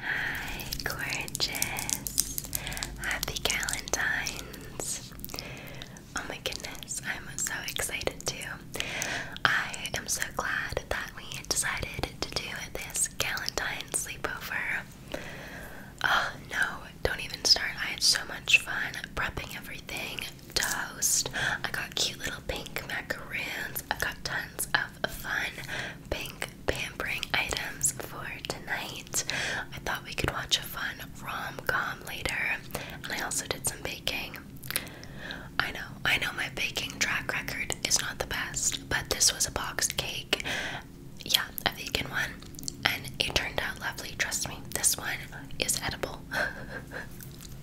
Hi, gorgeous! Happy Galentine's! Oh my goodness, I'm so excited too. I am so glad that we decided to do this Galentine sleepover. Oh no, don't even start. I had so much fun prepping everything. Toast. I got cute little pink macaroons. I got tons of fun pink pampering items for tonight. I thought we could watch a fun rom com later, and I also did some baking. I know, I know my baking track record is not the best, but this was a boxed cake. Yeah, a vegan one. And it turned out lovely, trust me. This one is edible.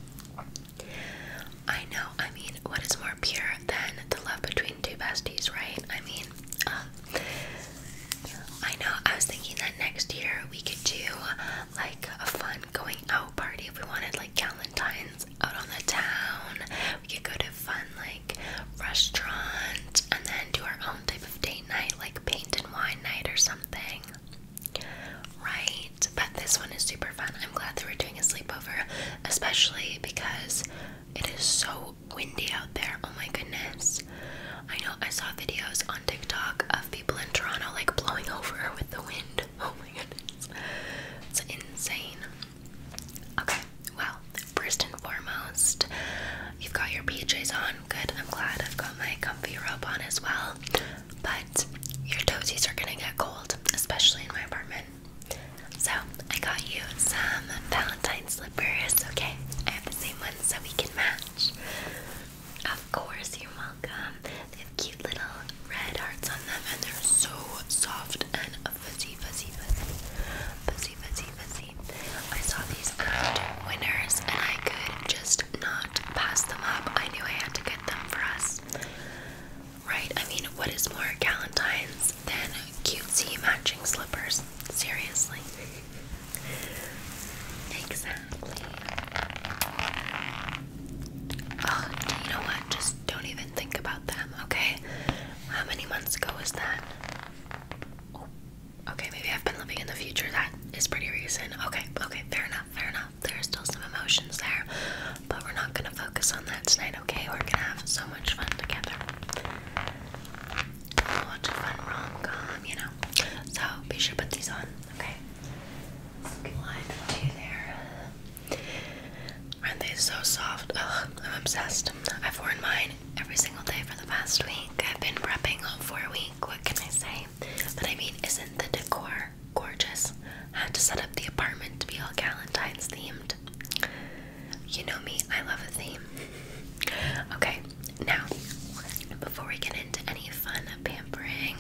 I know, I mean, what is more pure than the love between two besties, right? I mean, um, I know I was thinking that next year we could do like a fun going out party if we wanted, like Valentine's out on the town. We could go to fun like restaurant and then do our own type of date night, like paint and wine night or something. Right, but this one is super fun. I'm glad that we're doing a sleepover, especially because it is so windy out there. Oh my goodness. I know I saw videos on TikTok of people in Toronto like blowing over with the wind. Oh my goodness. It's insane. Okay, well, first and foremost, you've got your PJs on. Good, I'm glad I've got my comfy robe on as well. But your toesies are gonna get cold, especially in my apartment. So I got you some Valentine slippers, okay? I have the same ones so we can match. Of course, you're welcome. They have cute little red hearts on them and they're so soft and fuzzy, fuzzy, fuzzy. Fuzzy, fuzzy, fuzzy. I saw these at Winners and I could just not pass them up. I knew I had to get them for us. Right? I mean, what is more Galentine's than cutesy matching slippers? Seriously. Exactly. Oh, you know what? Just don't even think about them, okay? How many months ago was that? Oh, okay, maybe I've been living in the future. That is pretty recent. Okay, okay, fair enough, fair enough. There are still some emotions there, but we're not gonna focus on that tonight, okay? We're gonna have so much fun together. Watch a fun rom com, you know. So be sure to put these on, okay? Aren't they so soft? Ugh, I'm obsessed. I've worn mine every single day for the past week. I've been prepping for a week. What can I say? But I mean, isn't the decor gorgeous? I had to set up the apartment to be all Galentine's themed. You know me, I love a theme. okay, now, before we get into any fun pampering,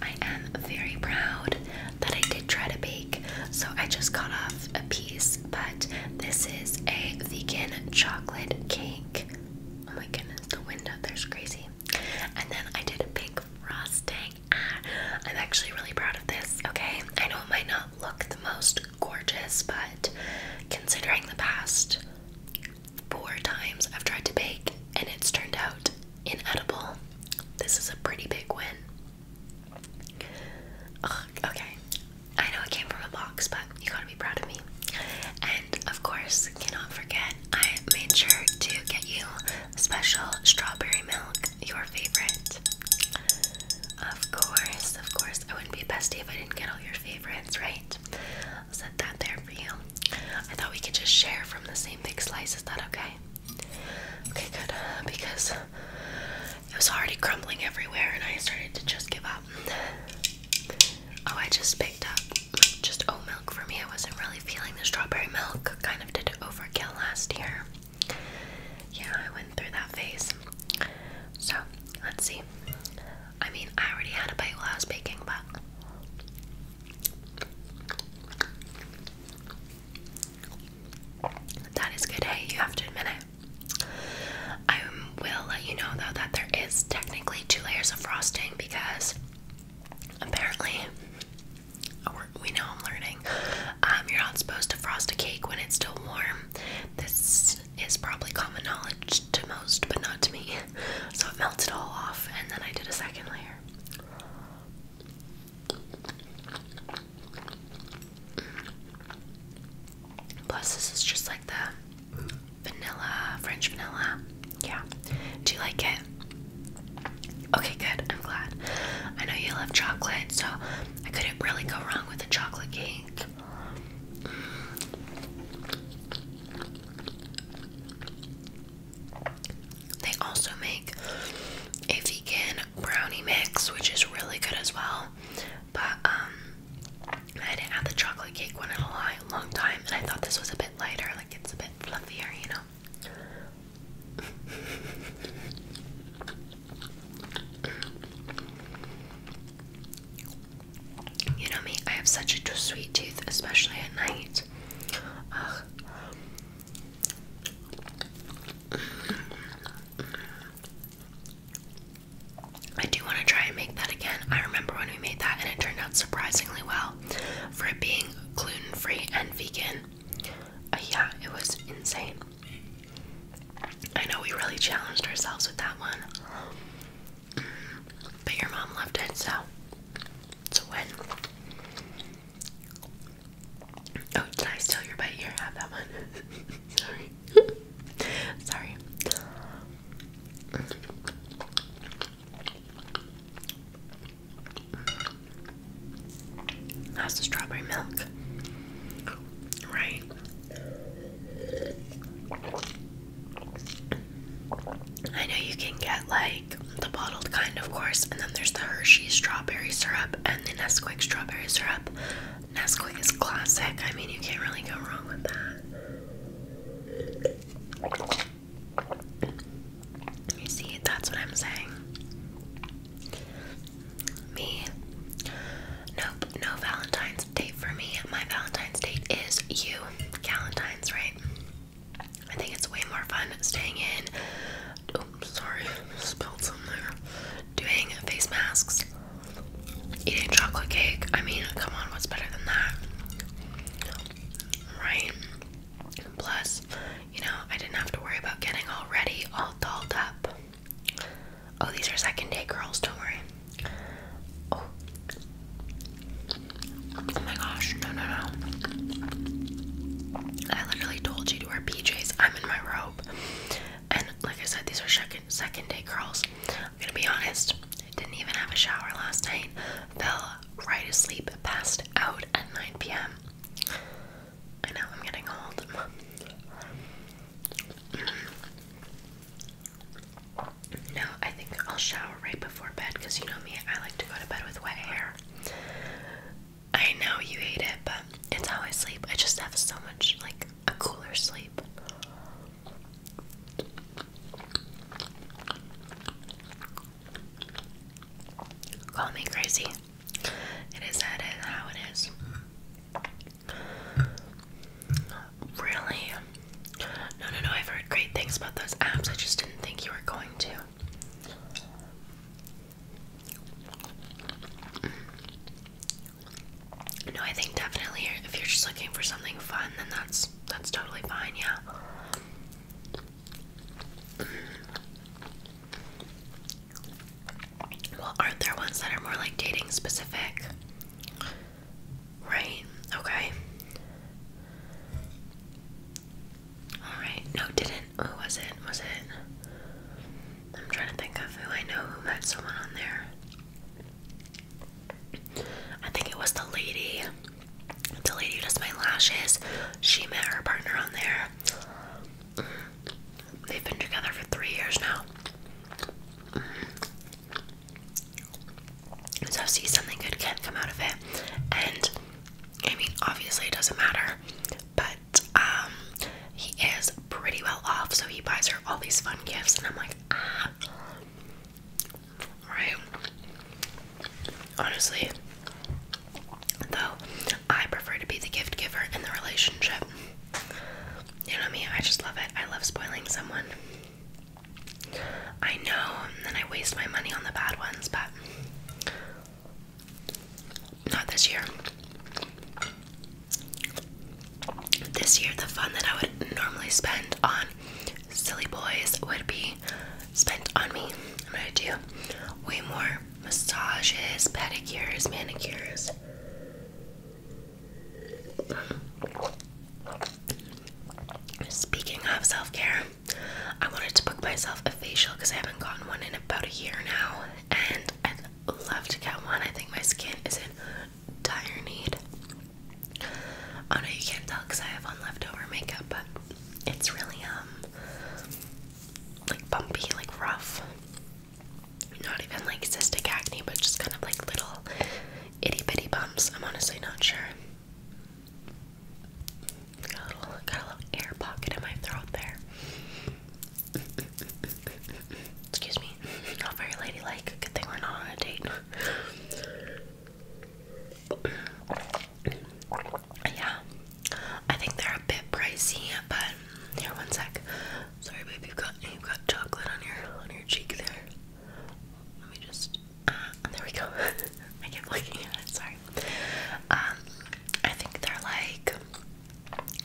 I am very proud that I did try to bake. So I just cut off a piece, but this is a vegan chocolate cake. Oh my goodness, the window there's crazy. And then I did a pink frosting. Ah, I'm actually really proud of this, okay? I know it might not look the most gorgeous, but considering the past four times I've tried to bake and it's turned out inedible, this is a pretty big win. okay, I know it came from a box, but you gotta be proud of me. And of course, cannot forget, I made sure to get you special strawberry milk, your favorite. Of course, of course. I wouldn't be bestie if I didn't get all your favorites, right? I'll set that there for you. I thought we could just share from the same big slice. Is that okay? Okay, good. Because it was already crumbling everywhere and I started to just give up. Oh, I just picked up just oat milk for me. I wasn't really feeling the strawberry milk. Kind of did overkill last year yeah, I went through that phase. So, let's see. I mean, I already had a bite while I was baking, but. That is good, hey, you have to admit it. I will let you know though that there is technically two layers of frosting because apparently we know I'm learning. Um, you're not supposed to frost a cake when it's still warm. This is probably common knowledge to most, but not to me. So it melted all off, and then I did a second layer. Plus, this is just like the vanilla, French vanilla. Yeah. Do you like it? Okay, good. I'm glad. I know you love chocolate, so I couldn't really go wrong with a chocolate cake. They also make a vegan brownie mix, which is really good as well. But um, I didn't have the chocolate cake one in a long time, and I thought this was a bit lighter, like it's a bit fluffier, you know. You know me, I have such a sweet tooth, especially at night. I do want to try and make that again. I remember when we made that and it turned out surprisingly well for it being gluten free and vegan. Uh, yeah, it was insane. I know we really challenged ourselves with that one. But your mom loved it, so it's a win. Oh, did I steal your bite? Here, have that one. Sorry. Sorry. That's the strawberry milk. Right. I know you can get like the bottled kind, of course, and then there's the Hershey strawberry syrup and the Nesquik strawberry syrup. Nesquik is classic. I mean, you can't really go wrong with that. You see, that's what I'm saying. Me? Nope, no Valentine's date for me. My Valentine's date is you. Valentine's, right? I think it's way more fun staying in. Oh, sorry, spilled something. Doing face masks, eating chocolate cake. I mean, come on, what's better than that? Right? Plus, you know, I didn't have to worry about getting all ready, all dolled up. Oh, these are second day curls. don't worry. Oh. oh. my gosh, no, no, no. I literally told you to wear PJs. I'm in my robe. And like I said, these are second, second day curls. I'm gonna be honest, I didn't even have a shower last night. Fell right asleep, passed out at 9 p.m. I know I'm getting old. no, I think I'll shower right before bed because you know me, I like to go to bed with wet hair. I know you hate it, but it's how I sleep. I just have so much, like, a cooler sleep. Call me crazy. It is that is how it is. Really? No, no, no. I've heard great things about those apps. I just didn't think you were going to. No, I think definitely if you're just looking for something fun, then that's that's totally fine. Yeah. Well, aren't there ones that are more like dating specific? Right? Okay. Alright. No, didn't. Who was it? Was it? I'm trying to think of who I know who met someone on there. I think it was the lady. The lady does my lashes. She met her partner on there. They've been together for three years now. So, see, something good can come out of it. And I mean, obviously, it doesn't matter, but um, he is pretty well off, so he buys her all these fun gifts, and I'm like, ah, right? Honestly, though, I prefer to be the gift giver in the relationship. You know me, I just love it. I love spoiling someone. I know, and then I waste my money on the bad ones, but not this year. This year, the fun that I would normally spend on silly boys would be spent on me. I'm gonna do way more massages, pedicures, manicures. Speaking of self care, I wanted to book myself a facial because I haven't gotten one in about a year now, and I'd love to get one. I think my skin is in dire need. Oh no, you can't tell because I have on leftover makeup, but it's really um like bumpy, like rough. Not even like cystic acne, but just kind of like little itty bitty bumps. I'm honestly not sure. Got a little, got a little air pocket in my throat there. Excuse me. Not very ladylike. Good thing we're not on a date. yeah. I think they're a bit pricey, but here, one sec. Sorry, babe. You've got you've got chocolate on your on your cheek there. Let me just. Uh, there we go. I kept looking at it. Sorry. Um, I think they're like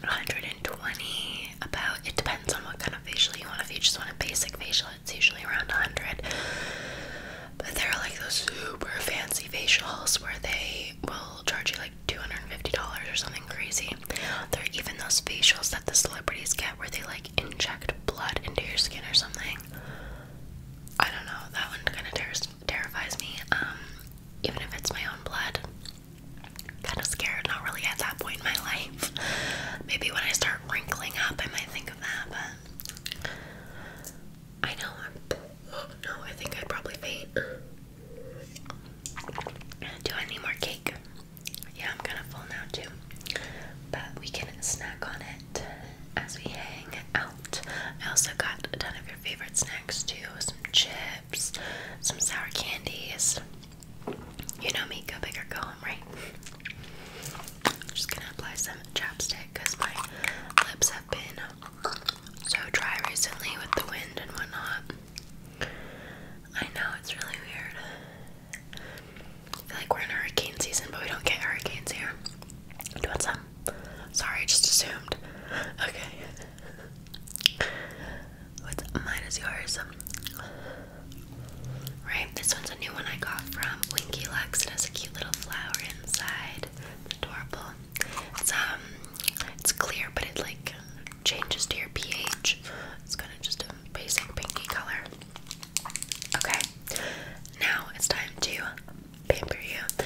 120. About it depends on what kind of facial you want. If you just want a basic facial, it's usually around 100. But there are like those super fancy facials where they will charge you like. $250 or something crazy. There are even those facials that the celebrities get where they like inject blood into your skin or something. I don't know, that one kind of terrifies me. Um, even if it's my own blood, kind of scared, not really at that point in my life. Maybe when I start wrinkling up, I might think of that, but I know I'm. no, I think I'd probably faint. Do I need more cake? Yeah, I'm kind of full now too. But we can snack on it as we hang out. I also got a ton of your favorite snacks too some chips, some sour candies. You know me, go big or go home, right? I'm just gonna apply some chapstick because my lips have been so dry recently with the wind and whatnot. I know it's really weird. I feel like we're in hurricane season, but we don't get hurricanes here. Do you want some? Sorry, I just assumed. Okay. What's mine is yours. Right, this one's a new one I got from Winky Lux. It has a cute little flower inside. It's adorable. It's um, it's clear, but it like changes to your pH. It's kind of just a basic pinky color. Okay, now it's time to pamper you.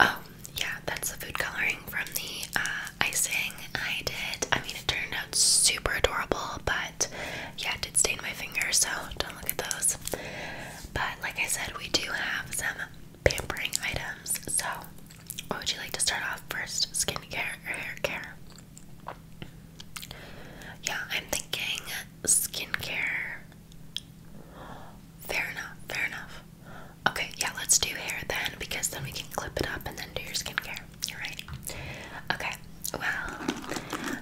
Oh, yeah, that's the food coloring from the uh, icing I did. I mean, it turned out super adorable, but yeah, it did stain my fingers, so don't look at those. But like I said, we do have some pampering items, so what would you like to start off first? Skincare or hair care? Yeah, I'm thinking skincare. Fair enough, fair enough. Okay, yeah, let's do hair then because then we can clip it up and then do your skincare. Alright. Okay, well,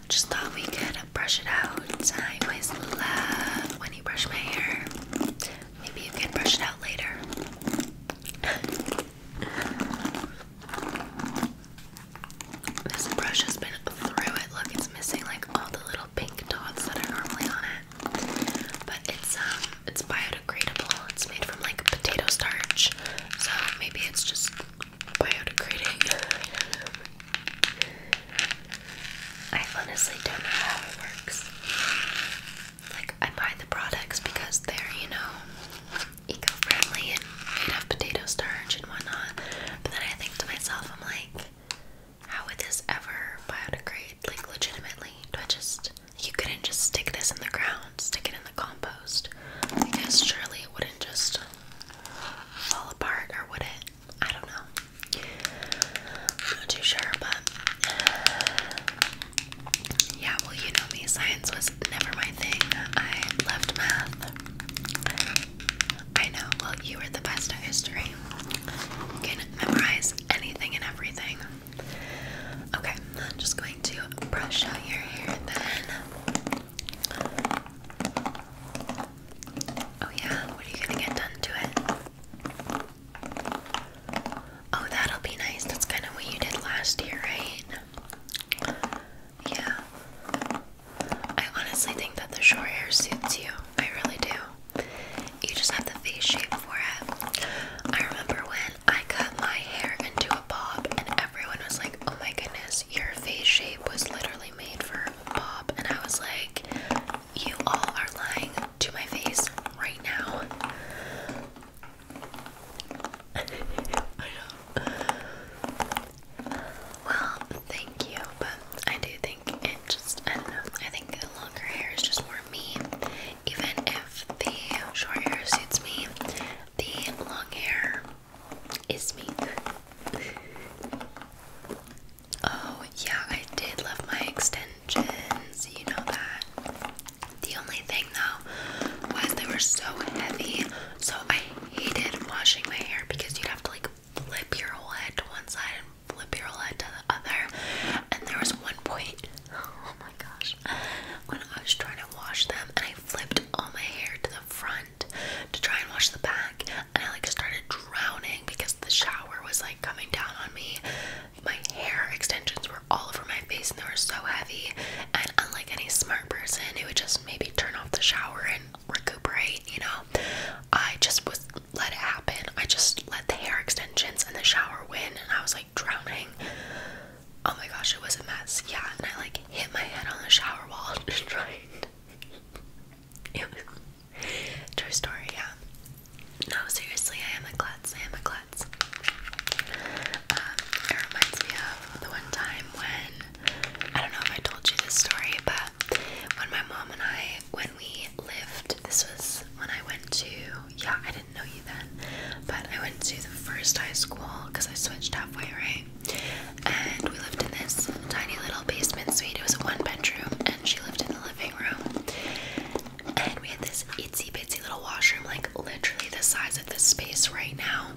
just thought we could brush it out. I always love when you brush my hair. Maybe you can brush it out later. This brush has been through it. Look, it's missing like all the little pink dots that are normally on it. But it's um it's biodegradable. It's made from like potato starch. So maybe it's just biodegrading. I honestly don't know how it works like I buy the products because they're, you know, eco-friendly and made of potato starch and whatnot. But then I think to myself, I'm like, how would this ever biodegrade? Like legitimately. Do I just you couldn't just stick this in the ground, stick it in the compost. Because surely it wouldn't just fall apart or would it? I don't know. not too sure, but yeah, well, you know me, science was never my thing. I loved math. I know, well, you were the best at history. can memorize anything and everything. Okay, I'm just going to brush out your hair then. Oh, yeah, what are you gonna get done to it? Oh, that'll be nice. That's kind of what you did last year, right? Yeah. I honestly think that the short hair suits you. I really do. You just have the face shape for it. I remember when I cut my hair into a bob, and everyone was like, oh my goodness, your face shape was literally made for a bob. And I was like, you all are lying to my face right now. I Well, thank you, but I do think it just, I don't know, I think the longer hair is just more me. Even if the short hair suits me, the long hair is me. oh, yeah, I did love my extensions, you know that. The only thing though was they were so heavy, so I hated washing my hair because you'd have to like flip your whole head to one side and flip your whole head to the other. And there was one point, oh my gosh, when I was trying to wash them and I flipped all my hair to the front to try and wash the back, and I like started drowning because the shower was like coming down on me. My hair extensions were all over my face and they were so heavy and unlike any smart person who would just maybe turn off the shower and recuperate, you know, I just was let it happen. I just let the hair extensions and the shower win, and I was like drowning. Oh my gosh, it was a mess. Yeah, and I like hit my head on the shower wall just trying. True story, yeah. No, seriously, I am a klutz. I am a klutz. Um, it reminds me of the one time when I don't know if I told you this story, but when my mom and I, when we lived, this was when I went to yeah, I didn't know you then, but I went to the first high school because I switched halfway, right? And we lived in this tiny little basement suite. It was a one bedroom, and she lived in the living room. And we had this itsy bitsy little washroom, like literally the size was this space right now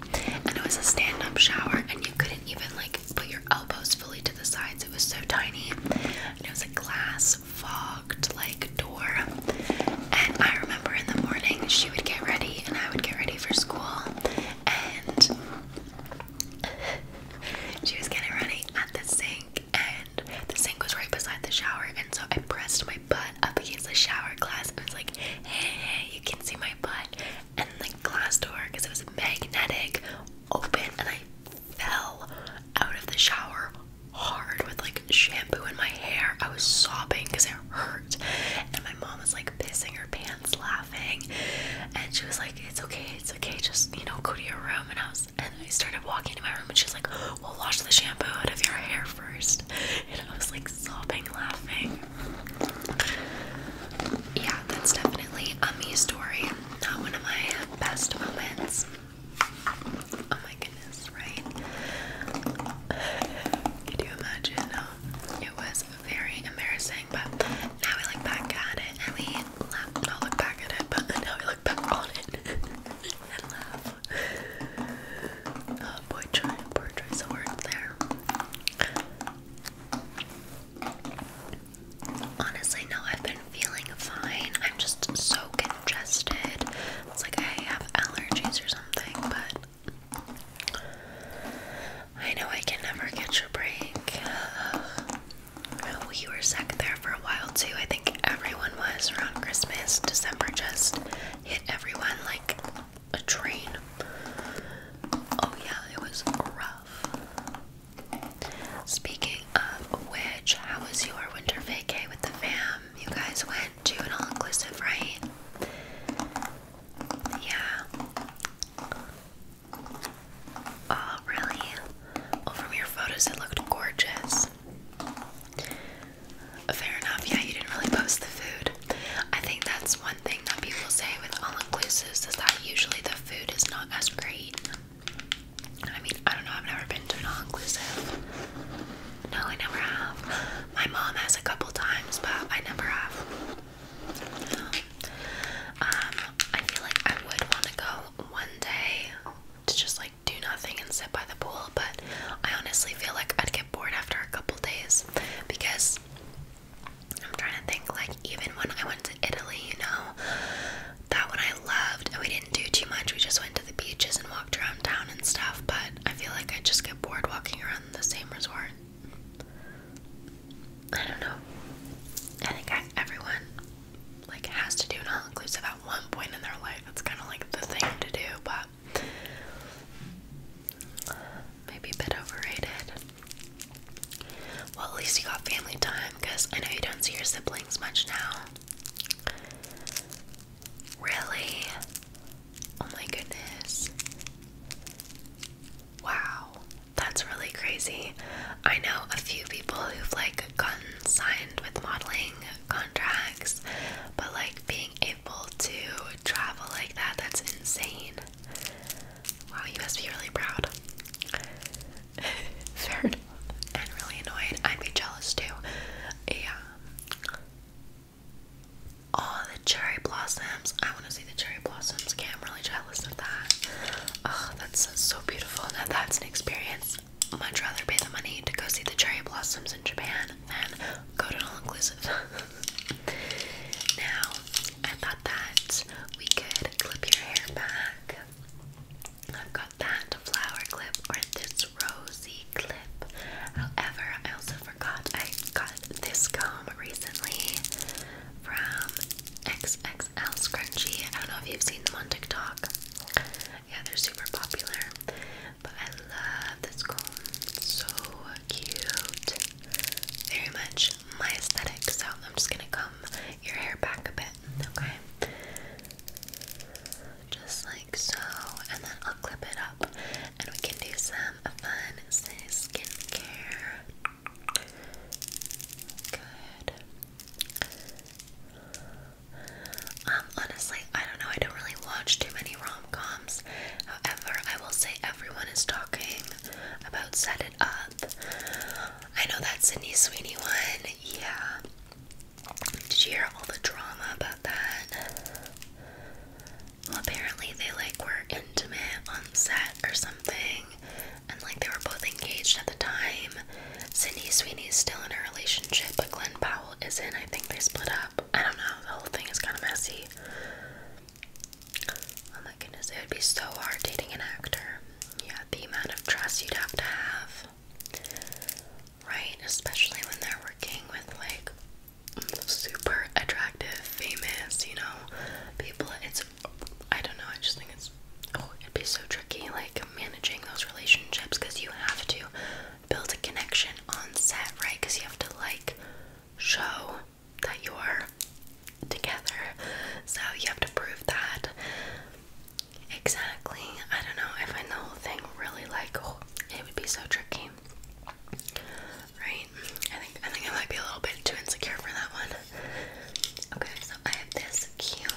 and it was a stand-up shower and you couldn't even like put your elbows fully to the sides it was so tiny and it was a glass fogged like door and I remember in the morning she would get ready and I would get ready for school and she was getting ready at the sink and the sink was right beside the shower and so I pressed my my butt up against the shower glass and was like, hey, you can see my butt. And the glass door, because it was magnetic, open, and I fell out of the shower hard with like shampoo in my hair. I was sobbing because it hurt. And my mom was like pissing her pants laughing. And she was like, It's okay, it's okay, just you know, go to your room. And I was and I started walking to my room and she's was like, Well wash the shampoo out of your hair first. And I was like sobbing laughing. Yeah, that's definitely a me story. Not one of my best moments. Oh my goodness, right? Could you imagine? it was very embarrassing, but now I look back at it and we laugh. Not look back at it, but now I look back on it and laugh. Uh, poetry, poetry is a word there. Honestly, no, I've been feeling fine. I'm just so congested. It's like I have allergies or something, but I know I can never catch a break. Uh, oh, we were sick there for a while too. I think everyone was around Christmas. December just hit everyone like a train. Oh, yeah, it was rough. Speaking of which, how was your winter vacay with the fam? You guys went to an all inclusive, right? Yeah. Oh, really? Well, oh, from your photos, it looked gorgeous. Oh, fair enough. Yeah, you didn't really post the food. I think that's one thing that people say with all inclusives is that usually the food is not as great. I mean, I don't know. I've never been to an all inclusive. No, I never have. My mom has a couple times, but I never have. Um, um, I feel like I would want to go one day to just like do nothing and sit by the pool, but I honestly feel like I'd get get bored after a couple days because I'm trying to think like even when I went to Italy, you know, that one I loved and we didn't do too much. We just went to the beaches and walked around town and stuff, but I feel like I just get bored walking around the same resort. I don't know. I think I, everyone like has to do an all-inclusive at one point in their life. It's kind of like the thing to do, but maybe a bit overrated. Well, at least you got family time because I know you don't see your siblings much now. Really? Oh my goodness. Wow, that's really crazy. I know a few people who've like gotten signed with modeling contracts, but like being able to travel like that, that's insane. Wow, you must be really proud. Fair And really annoyed. I'd be jealous too. Yeah. Oh, the cherry blossoms. I want to see the cherry blossoms. Okay, I'm really jealous of that. Oh, that's so beautiful. Now that's an experience. Much rather pay the money to go see the cherry blossoms in Japan then go to all-inclusive. now, I thought that we could clip your hair back. I've got that flower clip or this rosy clip. However, I also forgot I got this comb recently from XXL Scrunchie. I don't know if you've seen them on TikTok. Yeah, they're super popular. But I love this comb. So cute. Very much my aesthetic. So I'm just gonna comb your hair back a bit, okay? Just like so, and then I'll clip it up, and we can do some fun skincare. Good. Um, honestly, I don't know. I don't really watch too many rom coms. However, I will say everyone is talking about Set It Up. I know that Sydney Sweeney one, yeah. Did you hear all the drama about that? apparently they like were intimate on set or something, and like they were both engaged at the time. Sydney is still in a relationship, but Glenn Powell isn't. I think they split up. I don't know. The whole thing is kind of messy. Oh my goodness, it would be so hard dating an actor. Yeah, the amount of trust you'd have to have. Right? Especially when they're working with like super attractive, famous, you know, people. It's, I don't know, I just think it's, oh, it'd be so tricky like managing those relationships because you have to build a connection on set, right? Because you have to like show that you're together. So you have to prove that. Exactly. I don't know. if I find the whole thing really like oh, it would be so tricky. Right? I think I think I might be a little bit too insecure for that one. Okay, so I have this cute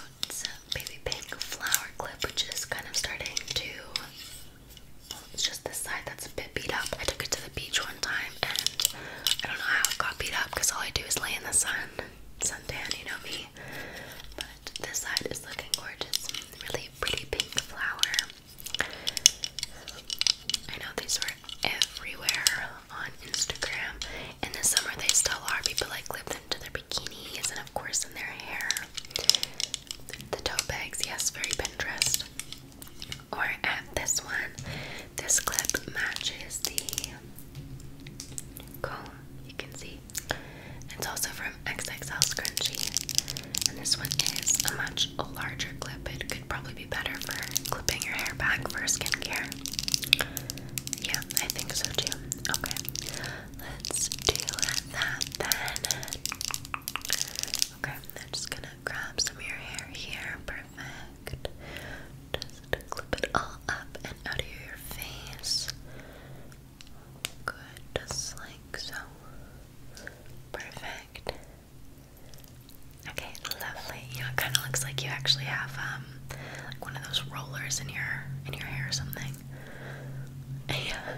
baby pink flower clip which is kind of starting to it's just this side that's a bit beat up. I took it to the beach one time and I don't know how it got beat up because all I do is lay in the sun. sun tan, you know me. But this side is looking gorgeous. Really pretty pink flower. I know these were everywhere on Instagram. In the summer they still are. People like clip them to their bikinis and of course in their hair. The tote bags, yes, very Pinterest or at this one. This clip matches the comb, you can see. It's also from XXL Scrunchie. And this one is a much larger clip. It could probably be better for clipping your hair back for skincare. Yeah, I think so too. Okay, let's do that then. Okay, I'm just gonna grab some of your hair here. Perfect. Just clip it all up and out of your face. Good, just like so. Perfect. Okay, lovely. You know, it kind of looks like you actually have um, like one of those rollers in your in your hair or something. Yeah.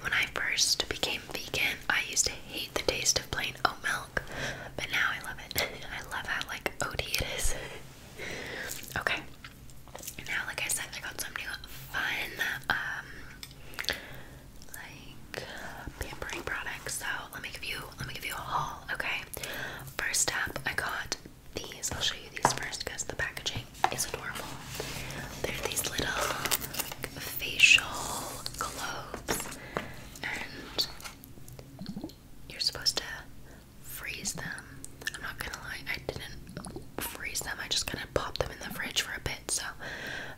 When I first became vegan, I used to hate the taste of plain oat milk, but now I love it. I love how like od it is. okay. Now, like I said, I got some new fun, um, like pampering products. So let me give you, let me give you a haul. Okay. First up, I got these. I'll show you these first because the packaging is adorable. They're these little facial globes, and you're supposed to freeze them. I'm not gonna lie, I didn't freeze them, I just kind of popped them in the fridge for a bit, so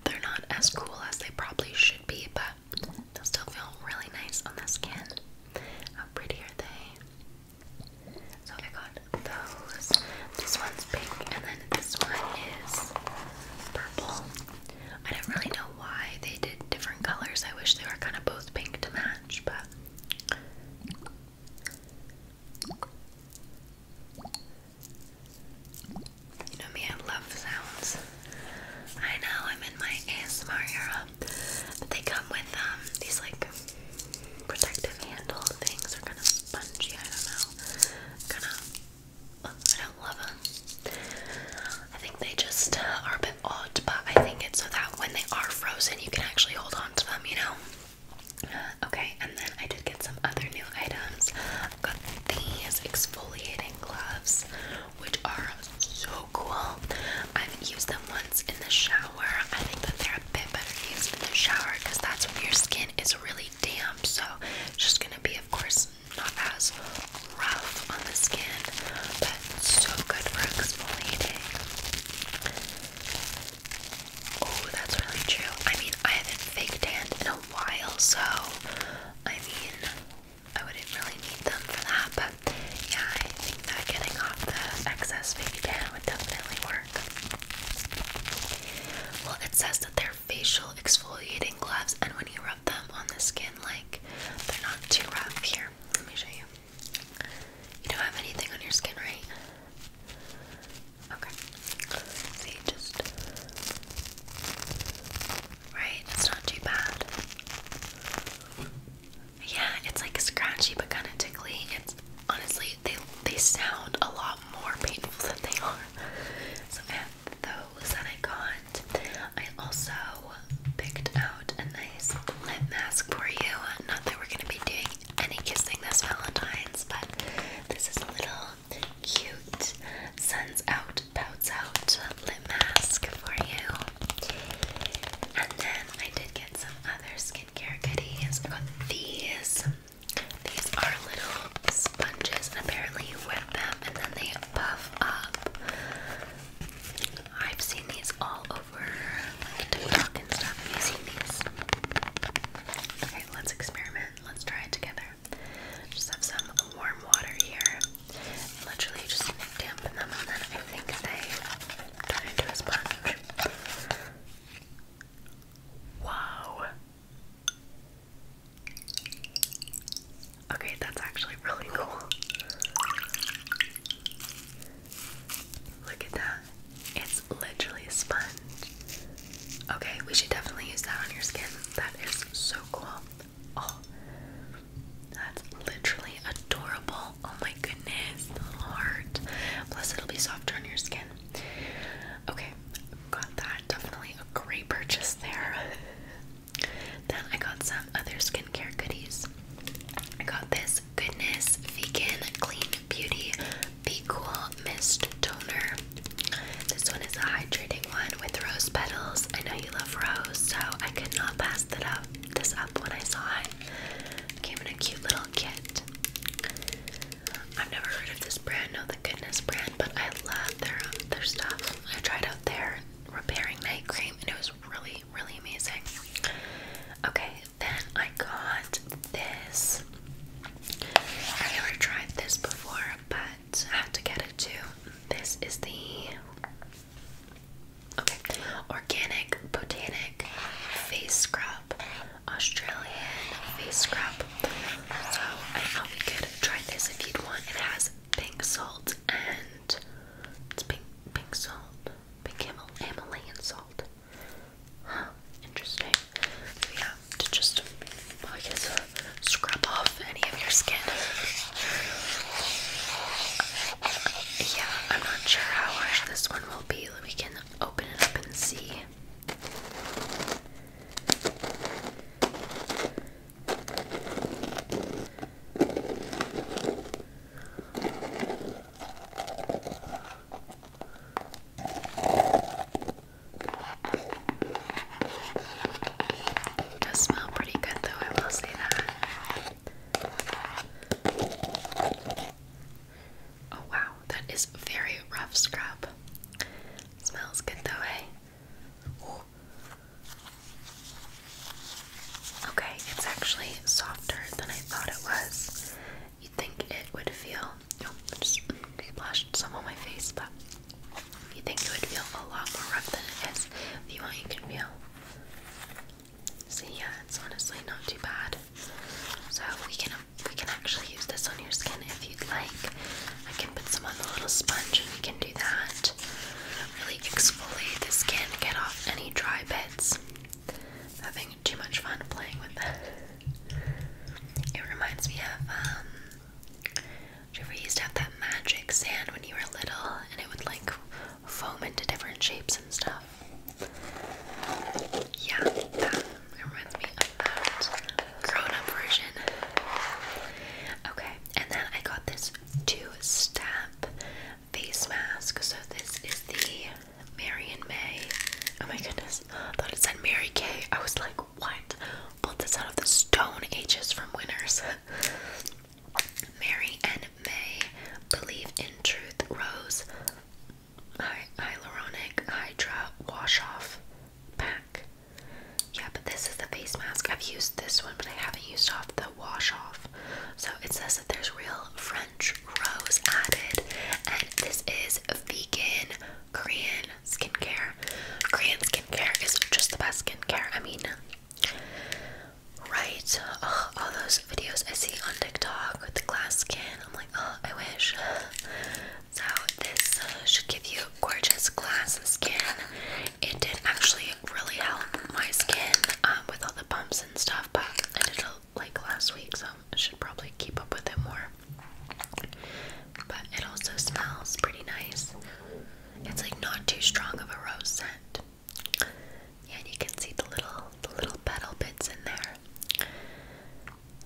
they're not as cool as they probably should be, but they still feel really nice on the skin. How pretty are they? So I got those. This one's pink, and then this one is purple. I don't really know why they did different colors. I wish they were kind of both pink to match, but. You know me, I love sounds. I know I'm in my ASMR era, they come with um, these like protective handle things are kind of spongy. I don't know. Kind of. I don't love them. I think they just are a bit odd, but I think it's so that when they are frozen, you can actually hold on to them, you know? okay, and then I did get some other new items. got these exfoliating gloves, which are so cool. I've used them once in the shower. I think that they're a bit better used in the shower because that's when your skin is really damp. So it's just gonna be, of course, not as rough on the skin, but so good for exfoliating. Oh, that's really true. I mean, I haven't fake tanned in a while, so I mean, I wouldn't really need them for that, but yeah, I think that getting off the excess fake tan would definitely work. Well, it says that they're facial exfoliating gloves, and when you rub them on the skin, like they're not too rough. Here, let me show you. You don't have anything on your skin, right? Okay. See, just right. It's not too bad. Yeah, it's like scratchy but kind of tickly honestly, they they sound a lot more painful than they are. So I those that I got. I also picked out a nice lip mask for you. Not that we're gonna be doing any kissing this Valentine's, but this is a little cute suns out, pouts out lip mask for you. And then I did get some other skincare goodies. I got these. These are little sponges, and apparently you wet them and then they puff up. I've seen these all over like TikTok and stuff. I'm using these? Okay, let's experiment. Let's try it together. Just have some warm water here. Literally just dampen them and then I think they turn into a sponge. Wow. Okay, that's actually really cool. Look at that. It's literally a sponge. Okay, we should definitely use that on your skin. That is so cool. Oh, that's literally adorable. Oh my goodness, the heart. Plus, it'll be softer on your skin. Okay, got that. Definitely a great purchase there. then I got some other skincare goodies. I got this Goodness Vegan Clean Beauty Be Cool Mist Toner. This one is a hydrating one with rose petals. I know you love rose, so I could not pass that up this up when I saw it. Came in a cute little kit. I've never heard of this brand, no the goodness brand, but I love their um, their stuff. I tried out their repairing night cream and it was really, really amazing. Okay, then I got this. I never tried this before, but I have to get it too. This is the okay organic botanical face scrub. Australian face scrub. So I thought we could try this if you'd want. It has pink salt and it's pink pink salt, pink Himal Himalayan salt. Huh, interesting. Yeah, to just, well, I guess, uh, scrub off any of your skin. Yeah, I'm not sure how harsh this one will be. We can open it up and see. It does smell pretty good, though, I will say that. Oh wow, that is very rough scrub. Smells good though, eh? Okay, it's actually softer than I thought it was. You'd think it would feel. Oh, I just splashed some on my face, but you think it would feel a lot more rough than it is. If you want, you can feel. See, yeah, it's honestly not too bad. So we can we can actually use this on your skin if you'd like. I can put some on the little sponge and we can do that. Really exfoliate the skin, get off any dry bits. Having too much fun playing with that. It reminds me of, um, do you ever used to have that magic sand when you were little and it would like foam into different shapes and stuff? Yeah, um, reminds me of that grown-up version. Okay, and then I got this two-step face mask. So this is the Marion May. Oh my goodness, thought it said Mary Kay. I was like, what? Pulled this out of the Stone Ages from Winners. Mary and May believe in truth. Rose hyaluronic hydra wash off pack. Yeah, but this is the face mask. I've used this one, but I haven't used off the wash off. So it says that there's real French rose added, and this is vegan Korean skincare. Korean skincare is just the best skincare. I mean, right? all those videos I see on TikTok with the glass skin. I'm like, oh, I wish. So this uh, should give you gorgeous glass skin. It did actually really help my skin um, with all the bumps and stuff, but I did it like last week, so I should probably keep up with it more. But it also smells pretty nice. It's like not too strong of a rose scent. Yeah, and you can see the little the little petal bits in there.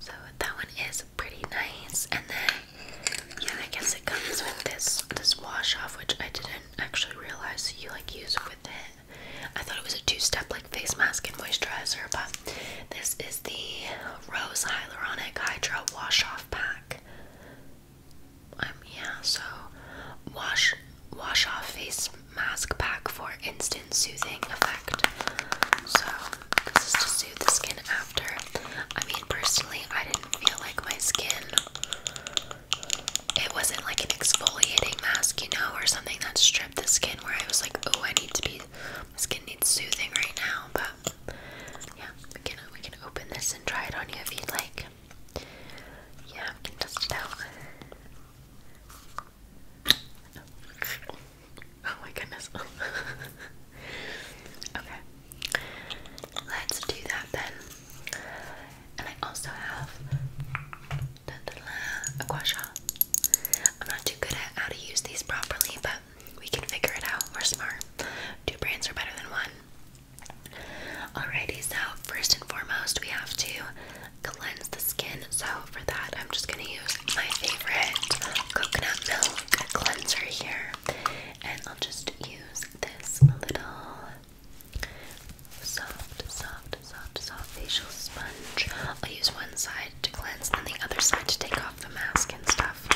So that one is pretty nice, and then yeah, I guess it comes with this this wash off, which I didn't actually realize you like use with it. I thought it was a two-step like face mask and moisturizer, but this is the Rose Hyaluronic Hydra Wash Off Pack. Um, yeah, so wash wash off face mask pack for instant soothing effect. So, this is to soothe the skin after. I mean, personally, I didn't feel like my skin. It wasn't like an exfoliating mask, you know, or something that stripped the skin where I was like, oh, I need to be. My skin needs soothing right now, but yeah, we can we can open this and try it on you if you'd like. Yeah, we can test it out. Oh my goodness. okay. Let's do that then. And I also have a gua sha. I'm not too good at how to use these properly, but we can figure it out. We're smart. Two brands are better than one. Alrighty, so first and foremost, we have to cleanse the skin. So for that, I'm just gonna use my favorite coconut milk cleanser here, and I'll just use this little soft, soft, soft, soft facial sponge. I'll use one side to cleanse and the other side to take off the mask and stuff.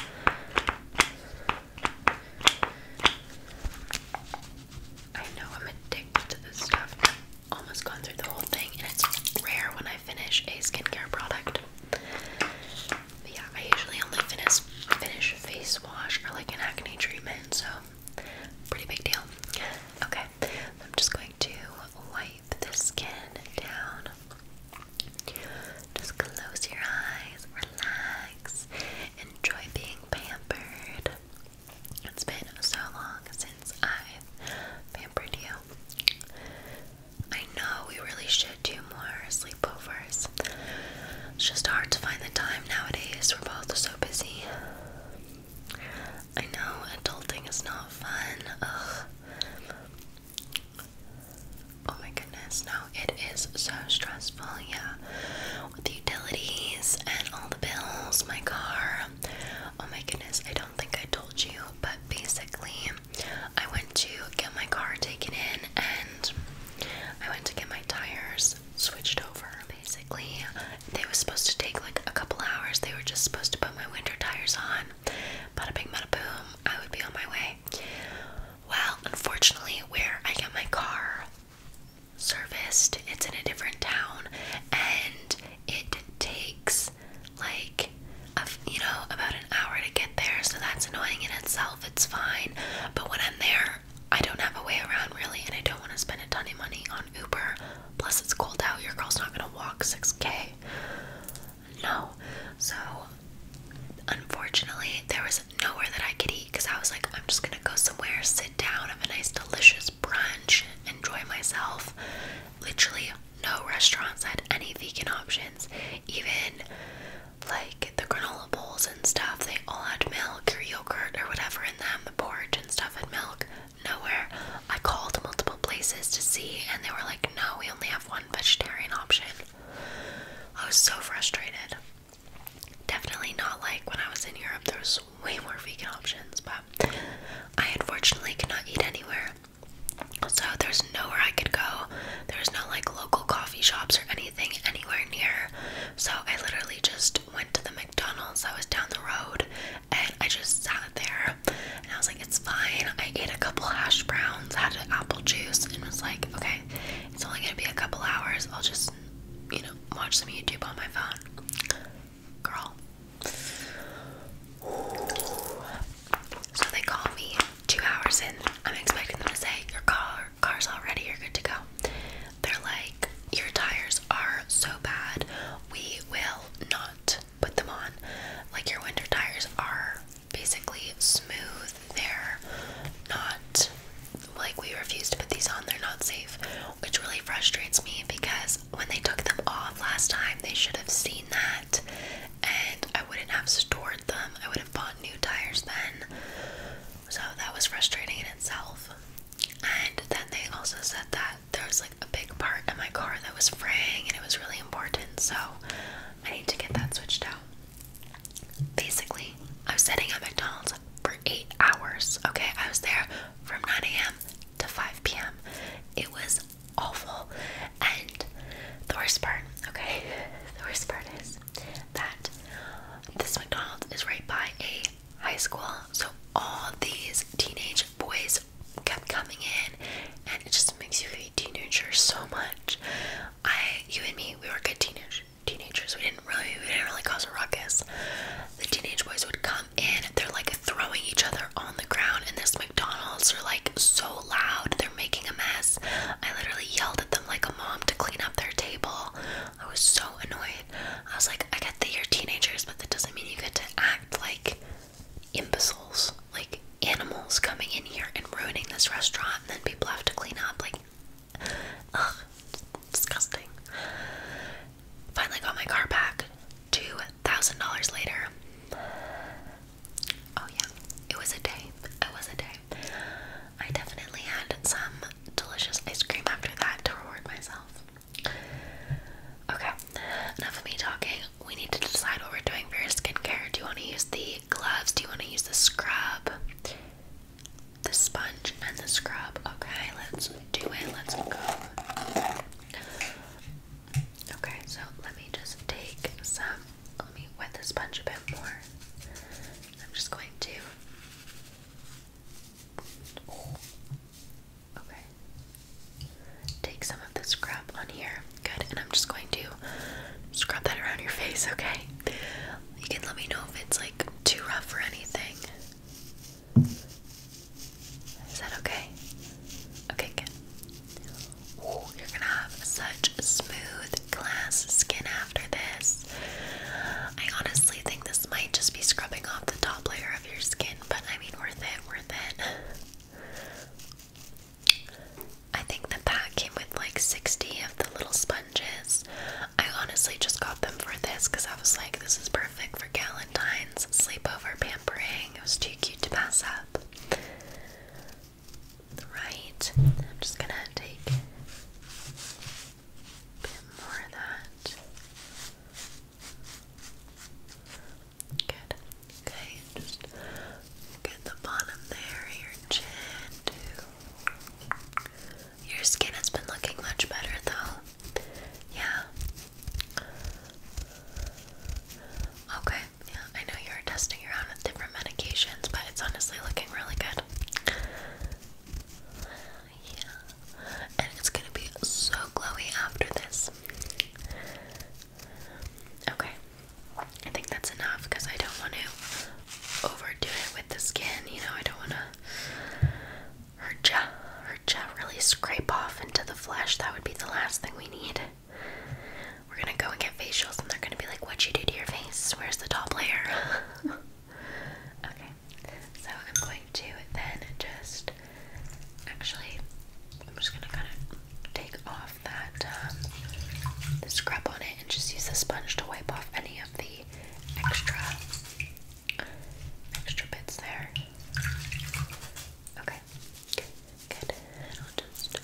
I know I'm addicted to this stuff. I've almost gone through the whole thing, and it's rare when I finish a skincare product yeah, I usually only finish finish face wash or like an acne treatment, so pretty big deal. Okay, I'm just going to wipe the skin down. Just close your eyes, relax, enjoy being pampered. It's been so long since i pampered you. I know we really should do more sleepovers. It's just hard to find the time nowadays. We're both so busy. I know adulting is not fun. Oh my goodness, no, it is so stressful, yeah. With the utilities and all the bills, my car. Oh my goodness, I don't think I told you, but basically, I went to get my car taken in and I went to get my tires switched over. Basically, they were supposed to take like a couple hours. They were just supposed to put my winter tires on. but a big bada boom, I would be on my way. Well, unfortunately, where I get my car serviced, it's in a different town and it takes like you know about an hour to get there, so that's annoying in itself. It's fine, but when I'm there, I don't have a way around really, and I don't want to spend a ton of money on Uber. Plus, it's cold out. Your girl's not gonna walk 6k. No, so unfortunately, there was nowhere that I could eat because I was like, I'm just gonna go somewhere, sit down, have a nice, delicious brunch, enjoy myself. Literally, no restaurants had any vegan options. Even like the granola bowls and stuff, they all had milk or yogurt or whatever in them. The porridge and stuff had milk. Nowhere. I called multiple places to see, and they were like, no, we only have one vegetarian option. I was so frustrated. Definitely not like when I was in Europe, there was way more vegan options, but I unfortunately cannot eat anywhere. So there's nowhere I could go. There's no like local coffee shops or anything anywhere near. So I literally just went to the McDonald's I was down the road and I just sat there and I was like, it's fine. I ate a couple hash browns, had an apple juice, and was like, okay, it's only gonna be a couple hours. I'll just, you know, watch some YouTube on my phone. Girl. So they call me two hours in. I'm expecting them to say, Your car car's all ready, you're good to go. They're like, Your tires are so bad, we will not put them on. Like your winter tires are basically smooth, they're not like we refuse to put these on, they're not safe, which really frustrates me because when they took them off last time, they should have seen that and I wouldn't have stored them. I would have bought new tires then. So that was frustrating in itself. And then they also said that there was like a big part of my car that was fraying and it was really important. So I need to get that switched out. Basically, I was sitting at McDonald's for eight hours. Okay, I was there from 9 a.m. to 5 p.m. It was awful. And the worst part, okay, the worst part is that this McDonald's is right by a high school, so all these teenage boys kept coming in, and it just makes you feel teenagers so much. I, you and me, we were good teenage teenagers. We didn't really, we didn't really cause a ruckus. The teenage boys would come in. They're like throwing each other on the ground and this McDonald's. are like so loud making a mess. I literally yelled at them like a mom to clean up their table. I was so annoyed. I was like, I get that you're teenagers, but that doesn't mean you get to act like imbeciles, like animals coming in here and ruining this restaurant, and then people have to clean up. Like, ugh, disgusting. Finally got my car back. $2,000 later. Oh yeah, it was a day. It was a day. I definitely had some delicious ice cream after that to reward myself. Okay, enough of me talking. We need to decide what we're doing for your skincare. Do you want to use the gloves? Do you want to use the scrub? The sponge and the scrub. Okay, let's do it. Let's go. Okay, so let me just take some let me wet the sponge a bit more. I'm just going to. Take some of the scrub on here. Good. And I'm just going to scrub that around your face, okay? You can let me know if it's like too rough or anything. Is that okay? Okay, good you're gonna have such smooth glass skin after this. I honestly think this might just be scrubbing off the top layer of your skin, but I mean, worth it, worth it. I think the pack came with like 60 of the little sponges. I honestly just got them for this because I was like, this is perfect for Galentine's sleepover pampering. It was too cute to pass up right. I'm just gonna take a bit more of that. Good. Okay, just get the bottom there, your chin too. Your skin has been looking much better though. Yeah. Okay. Yeah, I know you're testing around with different medications, but it's honestly looking really good. Yeah, and it's gonna be so glowy after this. Okay, I think that's enough because I don't want to overdo it with the skin. You know, I don't want to hurt ya, hurt ya, really scrape off into the flesh. That would be the last thing we need. We're gonna go and get facials, and they're gonna be like, What you do to your face? Where's the top layer? okay, so I'm going to then just actually, I'm just gonna kind of take off that um, the scrub on it and just use the sponge to wipe off any of the extra extra bits there. Okay. Okay, good. I'll just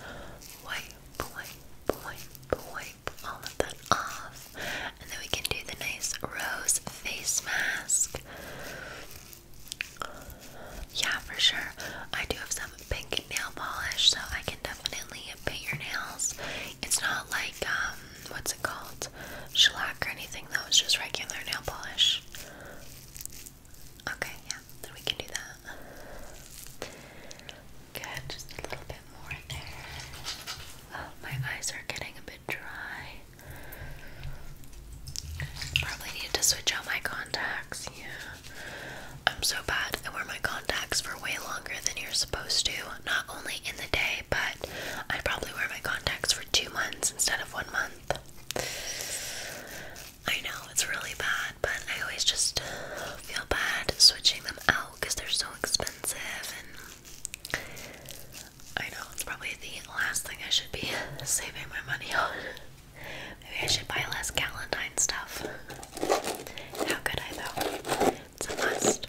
wipe, wipe, wipe, wipe all of that off. And then we can do the nice rose face mask. Yeah, for sure. I do have some pink nail polish, so I can definitely paint your nails. It's not like, um, what's it called? Shellac or anything, though. It's just regular nail polish. Okay, yeah, then we can do that. Good, just a little bit more in there. Oh, my eyes are getting a bit dry. Probably need to switch out my contacts, yeah. I'm so bad. I wear my contacts for way longer than you're supposed to. Not only in the day, but I probably wear my contacts for two months instead of one month. I know it's really bad, but I always just feel bad switching them out because they're so expensive. I know it's probably the last thing I should be saving my money on. Maybe I should buy less Galentine stuff. How could I though? It's a must.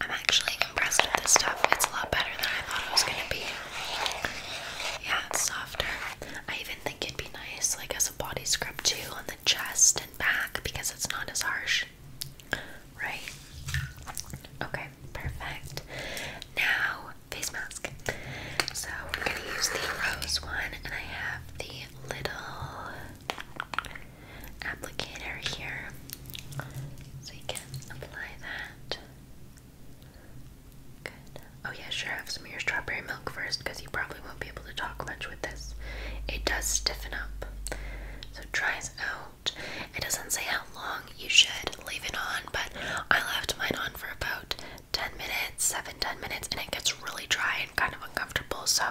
I'm actually impressed with this stuff. It's a lot better than I thought it was going to be. Yeah, softer. I even think it'd be nice, like as a body scrub too, on the chest and back because it's not as harsh, right? Okay, perfect. Now, face mask. So we're gonna use the rose one, and I have the little applicator here, so you can apply that Good. Oh yeah, sure. Have some of your strawberry milk first, because you probably won't be able to talk much with this. It does stiffen up, so try it out. It doesn't say how long you should leave it on, but I left mine on for about 10 minutes, 7 10 minutes, and it gets really dry and kind of uncomfortable. So,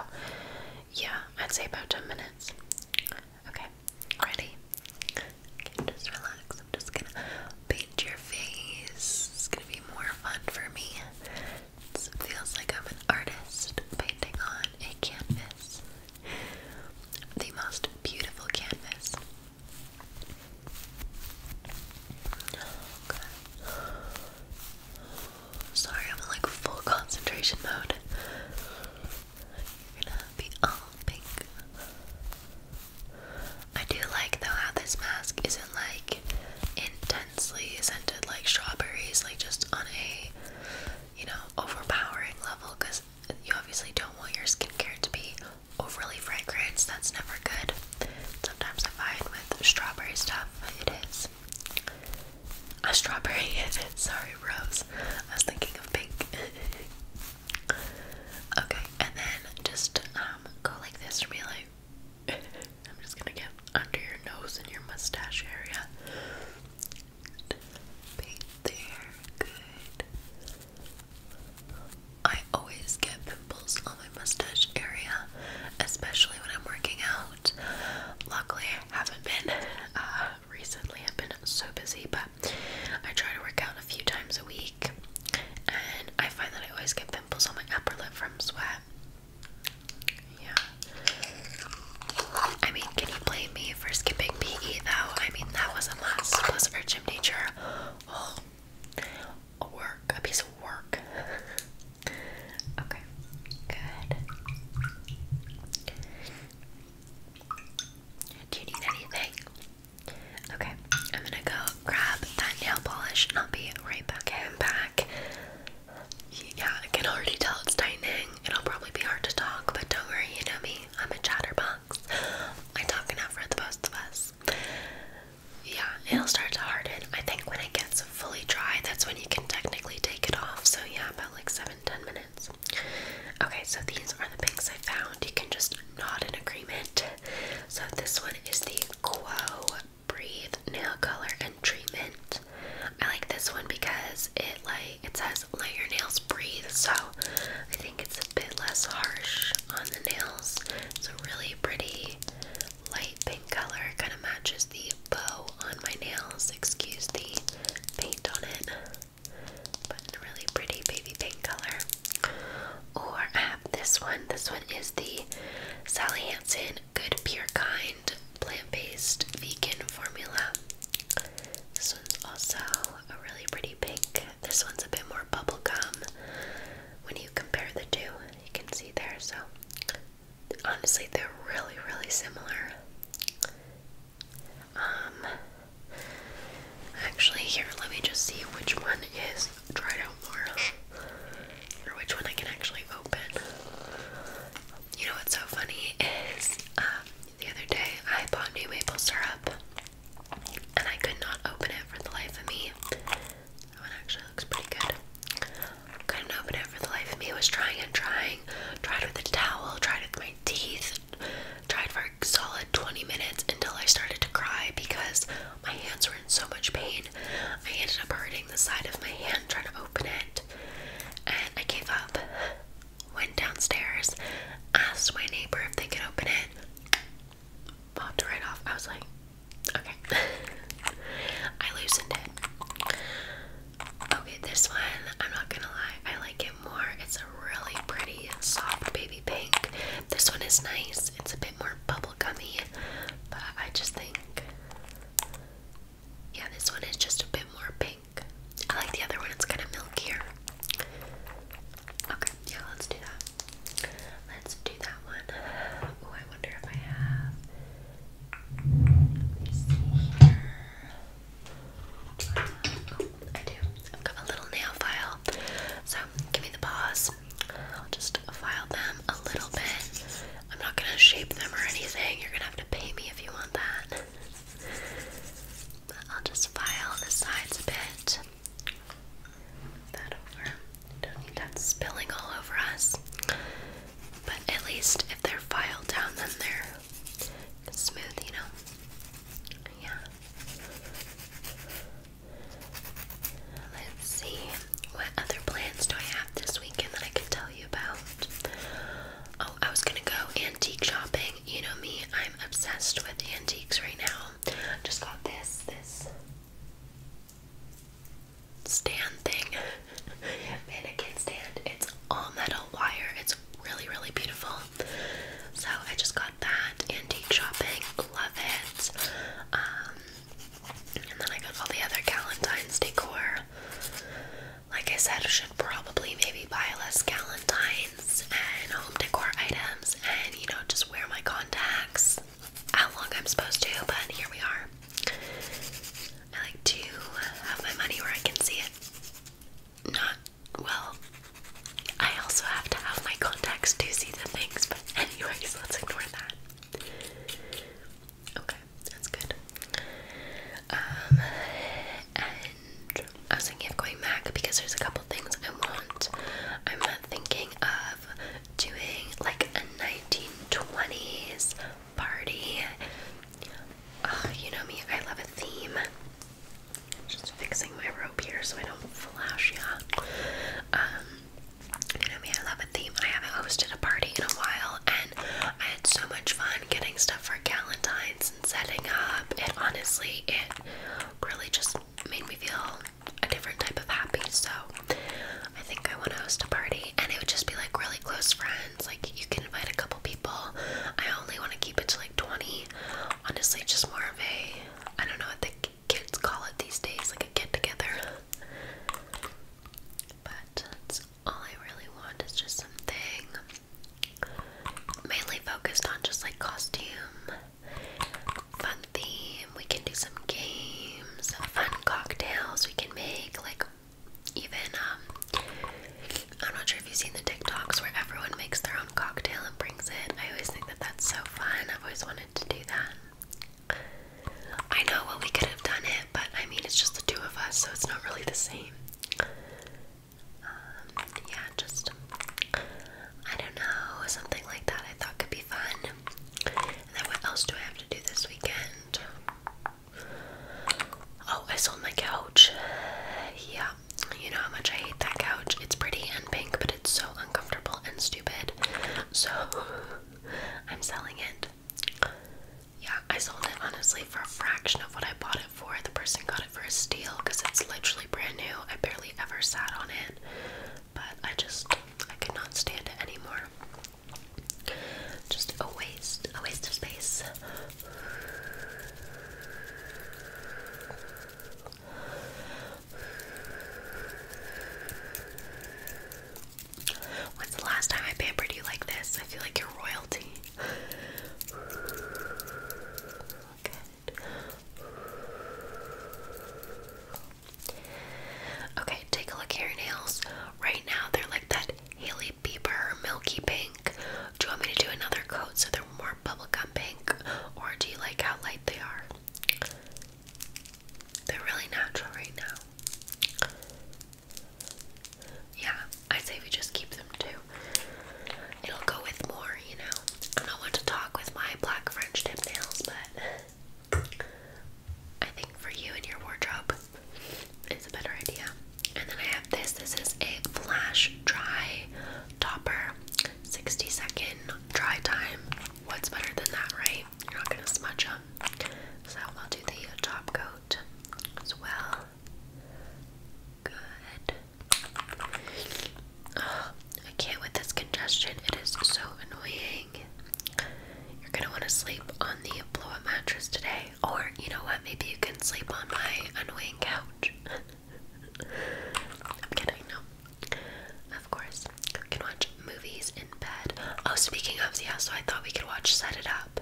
yeah, I'd say about 10 minutes. Okay, ready? just relax. I'm just gonna paint your face. It's gonna be more fun for me. It feels like I'm an artist painting on a canvas. The most beautiful canvas. Okay. Sorry, I'm like full concentration mode. You're gonna be all pink. I do like though how this mask isn't like intensely scented like strawberries, like just on a you know overpowering level because you obviously don't want your skincare to be overly fragrant, that's never good. Sometimes I find with strawberry stuff it is. A strawberry It's sorry, rose. I was thinking of pink. Okay, and then just um, go like this to be like I'm just gonna get under your nose and your mustache area. Paint there, good. I always get pimples on my mustache area, especially when I'm working out. Luckily, I haven't been uh, recently. I've been so busy, but I try to work out a few times a week, and I find that I always get pimples on my upper lip from sweat. Yeah. I mean, can you blame me for skipping PE though? I mean, that wasn't last. Plus, our gym teacher, oh, a work, a piece of work. okay, good. Do you need anything? Okay, I'm gonna go grab that nail polish and I'll be right back. Okay, I'm back. Yeah, I can already tell it's tightening. It'll probably be hard to talk, but don't worry, you know me. I'm a chatterbox. I talk enough for the both of us. Yeah, it'll start to harden. I think when it gets fully dry, that's when you can technically take it off. So yeah, about like seven, ten minutes. Okay, so these are the pinks I found. You can just nod in agreement so this one is the Quo Breathe Nail Color and Treatment. I like this one because it like it says let your nails breathe, so I think it's a bit less harsh on the nails. It's a really pretty light pink color, kind of matches the bow on my nails. Excuse the paint on it but really pretty baby pink color. Or I have this one. This one is the Sally Hansen Good Pure Kind Plant-Based Vegan Formula. This one's also a really pretty pink. This one's a bit more bubble gum. When you compare the two, you can see there. So honestly, they're really, really similar. Um, Actually, here, let me just see which one is dried out more. Or which one I can actually open. You know what's so funny is um, the other day I bought new maple syrup and I could not open it for the life of me. That one actually looks pretty good. Couldn't open it for the life of me. Was trying and trying. Tried with a towel, tried with my teeth, Tried for a solid 20 minutes until I started to cry because my hands were in so much pain. I ended up hurting the side of my hand trying to open it. And I gave up. Went downstairs, asked my neighbor if they could open it. Popped right off. I was like, okay. I loosened it. Okay, this one, I'm not gonna lie, I like it more. It's a really pretty, soft baby pink. This one is nice. It's a bit more bubblegummy, but I just think yeah, this one is just a bit more pink. I like the other one. It's kind of milkier. Okay, yeah, let's do that. Let's do that one. Oh, I wonder if I have. Let me see here. I do. I've got a little nail file. So give me the paws. I'll just file them a little bit. I'm not gonna shape them or anything. You're gonna have to pay me if you want that. I'll just file the sides a bit. that over. Don't need that spilling all over us. But at least if they're filed down, then they're smooth, you know? Yeah. Let's see, what other plans do I have this weekend that I can tell you about? Oh, I was gonna go antique shopping. You know me, I'm obsessed with antiques right now. I Just got this, this stand thing, mannequin stand. It's all metal wire, it's really, really beautiful. So I just got that antique shopping love it. Um, and then I got all the other Galentine's decor. Like I said, should probably maybe buy less Galentine's and home decor items and, you know, just wear my contacts how long I'm supposed to, but here we are. I like to have my money where I can see it. Not, well, I also have to have my contacts to see the things, but anyways, let's ignore that. Okay, that's good. Um, and I was thinking of going back because there's a couple things I want. I'm thinking of doing like a 1920s party. Ah, you know me, I love a theme. Just fixing my rope here so I don't flash, yeah. Um, you know me, I love a theme. I haven't hosted a party in a while, and I had so much fun getting stuff for Galentine's and setting up. And honestly, it really just made me feel a different type of happy. So I think I want to host a party, and it would just be like really close friends. Like you can invite a couple people. I only want to keep it to like 20. Honestly, just more of a I don't know what the kids call it these days, like a kid together. But all I really want is just something mainly focused on just like costume, fun theme. We can do some games, fun cocktails we can make, like even um, I'm not sure if you've seen the TikToks where everyone makes their own cocktail and brings it. I always think that that's so fun. I've always wanted to do that. I know we could have done it, but I mean it's just the two of us, so it's not really the same. Um, yeah, just I don't know, something like that I thought could be fun. then what else do I have to do this weekend? Oh, I sold my couch. Yeah, you know how much I hate that couch. It's pretty and pink, but it's so uncomfortable and stupid. So I'm selling it. Yeah, I sold it honestly for a fraction of what I bought it for. The person got it for a steal because it's literally brand new. I barely ever sat on it, but I just I could not stand it anymore. Just a waste, a waste of space. When's the last time I pampered you like this? I feel like you're royalty. Look Okay, take a look at your nails. Right now, they're like that Haley Bieber milky pink. Do you want me to do another coat so they're more bubblegum pink? Or do you like how light they are? They're really natural right now. Yeah, I say we just keep them too. It'll go with more, you know. I don't want to talk with my black French tips nails, but I think for you and your wardrobe, it's a better idea. And then I have this. This is a flash dry topper, 60 second dry time what's better than that, right? You're not gonna smudge up. So I'll do the top coat as well. Good. Oh, I can't with this congestion. It is so annoying. You're gonna want to sleep on the blow-up mattress today, or you know what? Maybe you can sleep on my annoying couch. I'm kidding. No, of course, we can watch movies in bed. Oh, speaking of, yeah, so I thought we could watch Set It Up.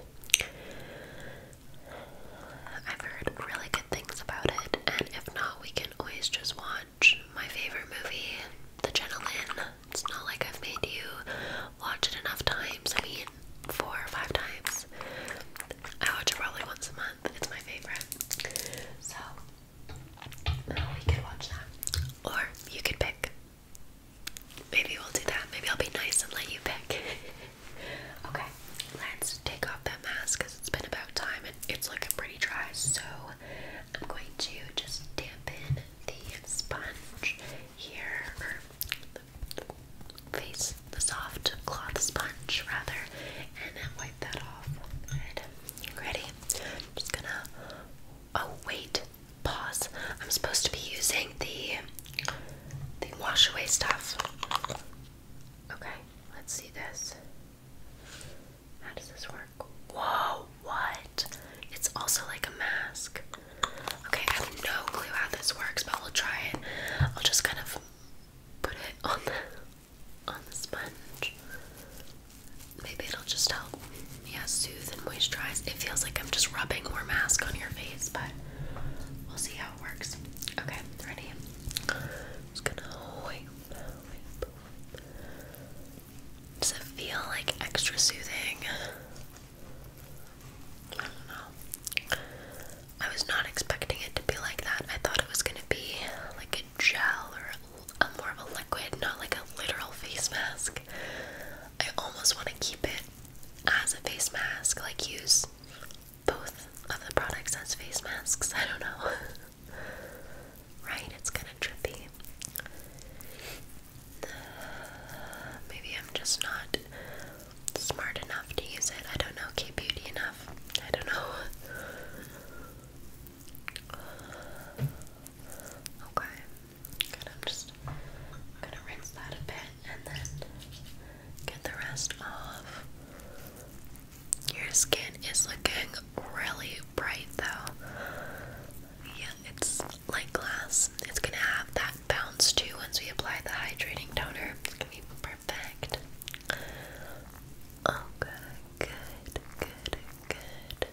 I've heard really good things about it, and if not, we can always just watch my favorite movie, The Gentleman. It's not like I've made you watch it enough times. I mean, four or five times. I watch it probably once a month. It's my favorite. So, or you could pick. Maybe we'll do that. Maybe I'll be nice and let you pick. okay, let's take off that mask because it's been about time and it's looking pretty dry. So I'm going to just dampen the sponge here, face, the soft cloth sponge rather, and then wipe that off. Good. Ready? I'm just gonna. Oh wait, pause. I'm supposed to be using the the wash away stuff. Okay, let's see this. How does this work? Whoa, what? It's also like a mask. Okay, I have no clue how this works, but we'll try it. I'll just kind of put it on on the sponge. Maybe it'll just help, yeah, soothe and moisturize. It feels like I'm just rubbing more mask on your face, but we'll see how it works. Okay, ready? just gonna wipe, Does it feel like extra soothing? I don't know. I was not expecting it to be like that. I thought it was gonna be like a gel or I'm more of a liquid, not like a literal face mask. I almost want to keep it as a face mask, like use both of the products as face masks. I don't know. right? It's kind of trippy. maybe I'm just not smart enough to use it. I don't know. K beauty enough. I don't know. Okay. I'm just gonna rinse that a bit and then get the rest off. Your skin is looking really bright though. Yeah, it's like glass. It's gonna have that bounce too once we apply the hydrating toner. It's gonna be perfect. Okay, good, good, good.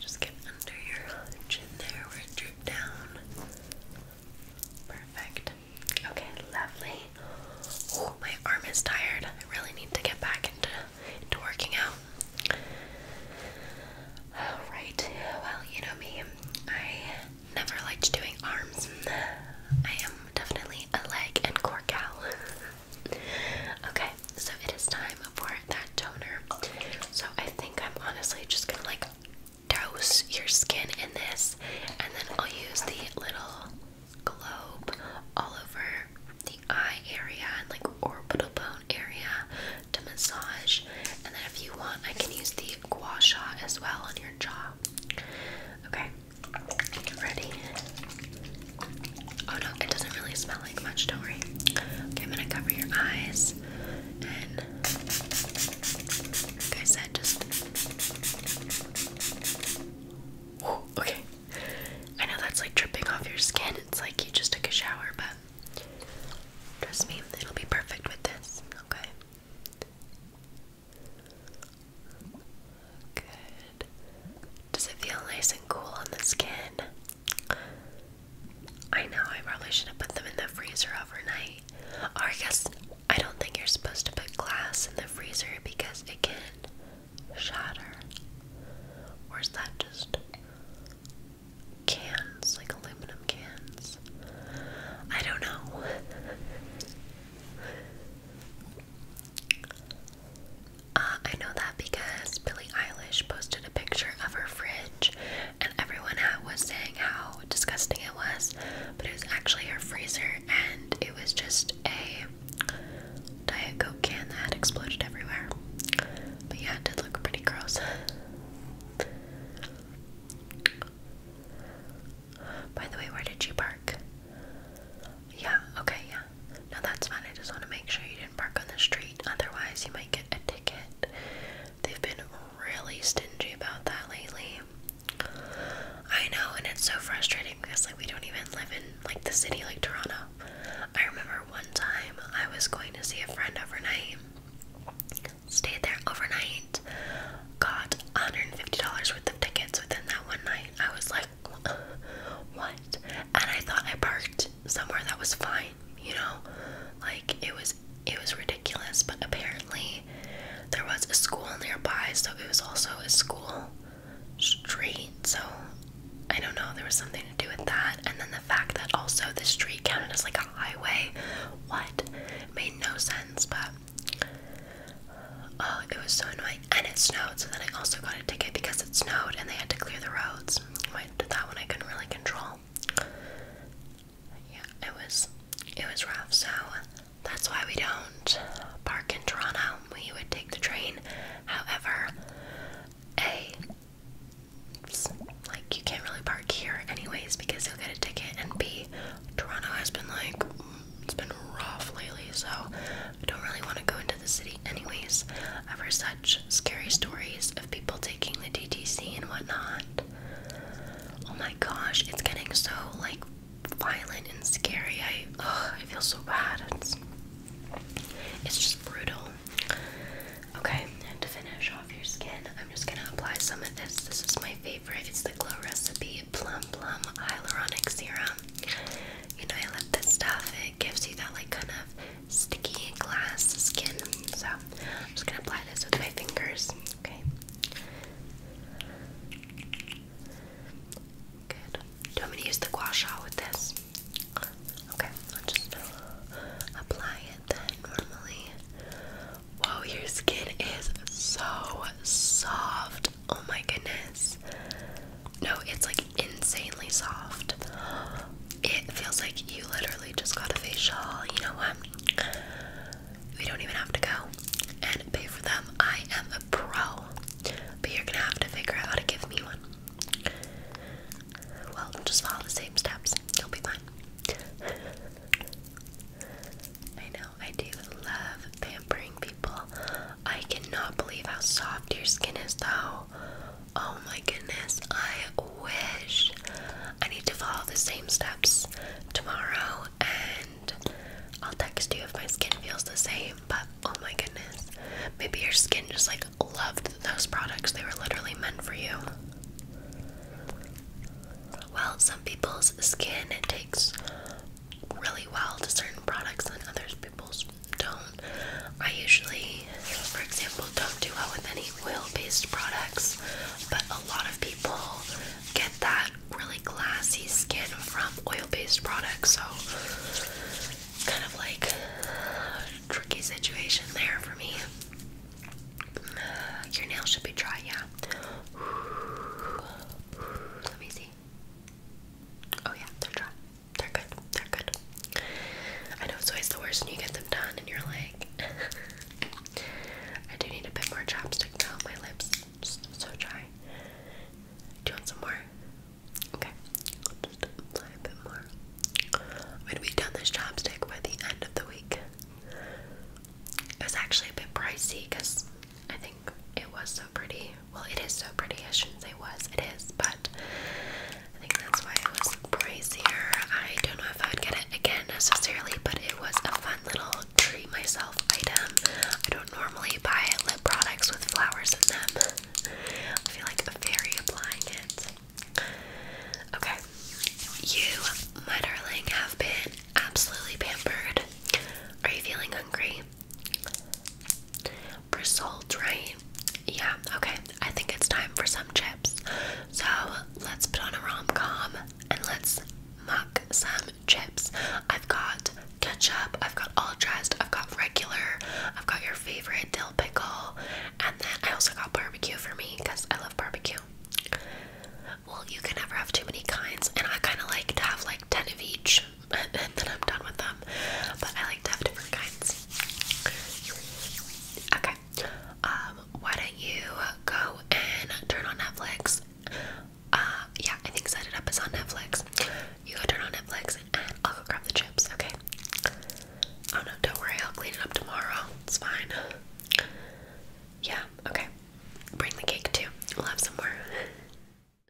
Just get under your chin there where it drooped down. Perfect. Okay, lovely. Oh, my arm is tired. I really need to get back into into working out. Alright, well, you know me. I never liked doing arms. I am definitely a leg and Corcal. okay, so it is time for that toner. So I think I'm honestly just gonna like douse your skin in this, and then I'll use the little globe all over the eye area and like orbital bone area to massage. And then if you want, I can use the gua sha as well on your jaw. Okay, Ready? Oh no, it doesn't really smell like much, don't worry. Okay, I'm gonna cover your eyes and like I said, just okay. I know that's like dripping off your skin. It's like you just took a shower, but trust me, it'll be perfect with this, okay? Does it feel nice and cool on the skin? I know I probably should have put them in the freezer overnight. Or I guess I don't think you're supposed to put glass in the freezer because it can shatter. Or is that just cans, like aluminum cans? I don't know. Uh, I know that because Billie Eilish posted a picture of her fridge, and everyone was saying how disgusting it was, but it was actually her freezer, and it was just a Diet Coke can that exploded everywhere. But yeah, it did look pretty gross. By the way, where did you park? Yeah, okay, yeah. No, that's fine. I just want to make sure you didn't park on the street. Otherwise, you might get a ticket. They've been really stingy about that lately. I know, and it's so frustrating because like we don't even live in like the city like Toronto. I remember one time I was going to see a friend overnight. Stayed there overnight. Got $150 worth of tickets within that one night. I was like what? And I thought I parked somewhere that was fine, you know? Like, it was, it was ridiculous, but apparently there was a school nearby, so it was also a school street, so I don't know, there was something to do with that. And then the fact that also the street counted as like a highway, what? Made no sense, but Oh, it was so annoying. And it snowed, so then I also got a ticket because it snowed and they had to clear the roads. That one I couldn't really control. Yeah, it was it was rough, so that's why we don't park in Toronto. We would take the train. However, a like you can't really park here anyways because you'll get a ticket and B Toronto has been like it's been rough lately, so I don't really want to go into the city anyways. ever such scary stories of people taking the DTC and whatnot. Oh my gosh, it's getting so like violent and scary. I ugh, I feel so bad. It's it's just brutal. Okay, and to finish off your skin, I'm just gonna apply some of this. This is my favorite. It's the Glow Recipe Plum Plum Hyaluronic Serum. You know, I love this stuff. It gives you that like kind of sticky glass skin. So I'm just gonna apply this with my fingers. Okay. Good. Do I want me to use the gua sha with this? Okay, I'll just apply it then normally. Whoa, your skin is so soft. Oh my goodness. No, it's like insanely soft. It feels like you literally just got a facial. You know what? We don't even have to go and pay for them. I am a pro. But you're gonna have to figure out how to give me one. Well, just follow the same steps. You'll be fine. I know, I do love pampering people. I cannot believe how soft your skin is, though. Oh my goodness, I wish. I need to follow the same steps tomorrow, and I'll text you if my skin feels the same. But oh my goodness, maybe your skin just like loved those products, they were literally meant for you. Well, some people's skin takes really well to certain products and other people's don't. I usually, for example, don't do well with any oil-based products, but a lot of people get that really glassy skin from oil-based products, so kind of like tricky situation there for me. Uh, your nails should be dry, yeah. Let me see. Oh yeah, they're dry. They're good. They're good. I know it's always the worst when you get them done and you're like I do need a bit more chapstick though. My lips just so dry. Do you want some more? Okay. just a bit more. I'm be done this chapstick by the end of the week. It was actually a bit pricey because I think it was so pretty. Well, it is so pretty. I shouldn't say was, it is, but I think that's why it was pricier. I don't know if I would get it again necessarily, but it was a fun little treat myself item. I don't normally buy lip products with flowers in them. I feel like a fairy applying it. Okay, you, my darling, have been absolutely pampered. Are you feeling hungry? Result, right? Yeah, okay. I think it's time for some chips. So let's put on a rom com and let's muck some chips. I've got ketchup, I've got all dressed, I've got regular, I've got your favorite dill pickle, and then I also got barbecue for me because I love barbecue. Well, you can never have too many kinds, and I kind of like to have like 10 of each and then I'm done with them. But I like to have different kinds. Okay. Um, why don't you go and turn on Netflix? Uh, yeah, I think Set It Up is on Netflix. You go turn on Netflix and I'll go grab the chips, okay? Oh no, don't worry, I'll clean it up tomorrow. It's fine. Yeah, okay. Bring the cake too. We'll have some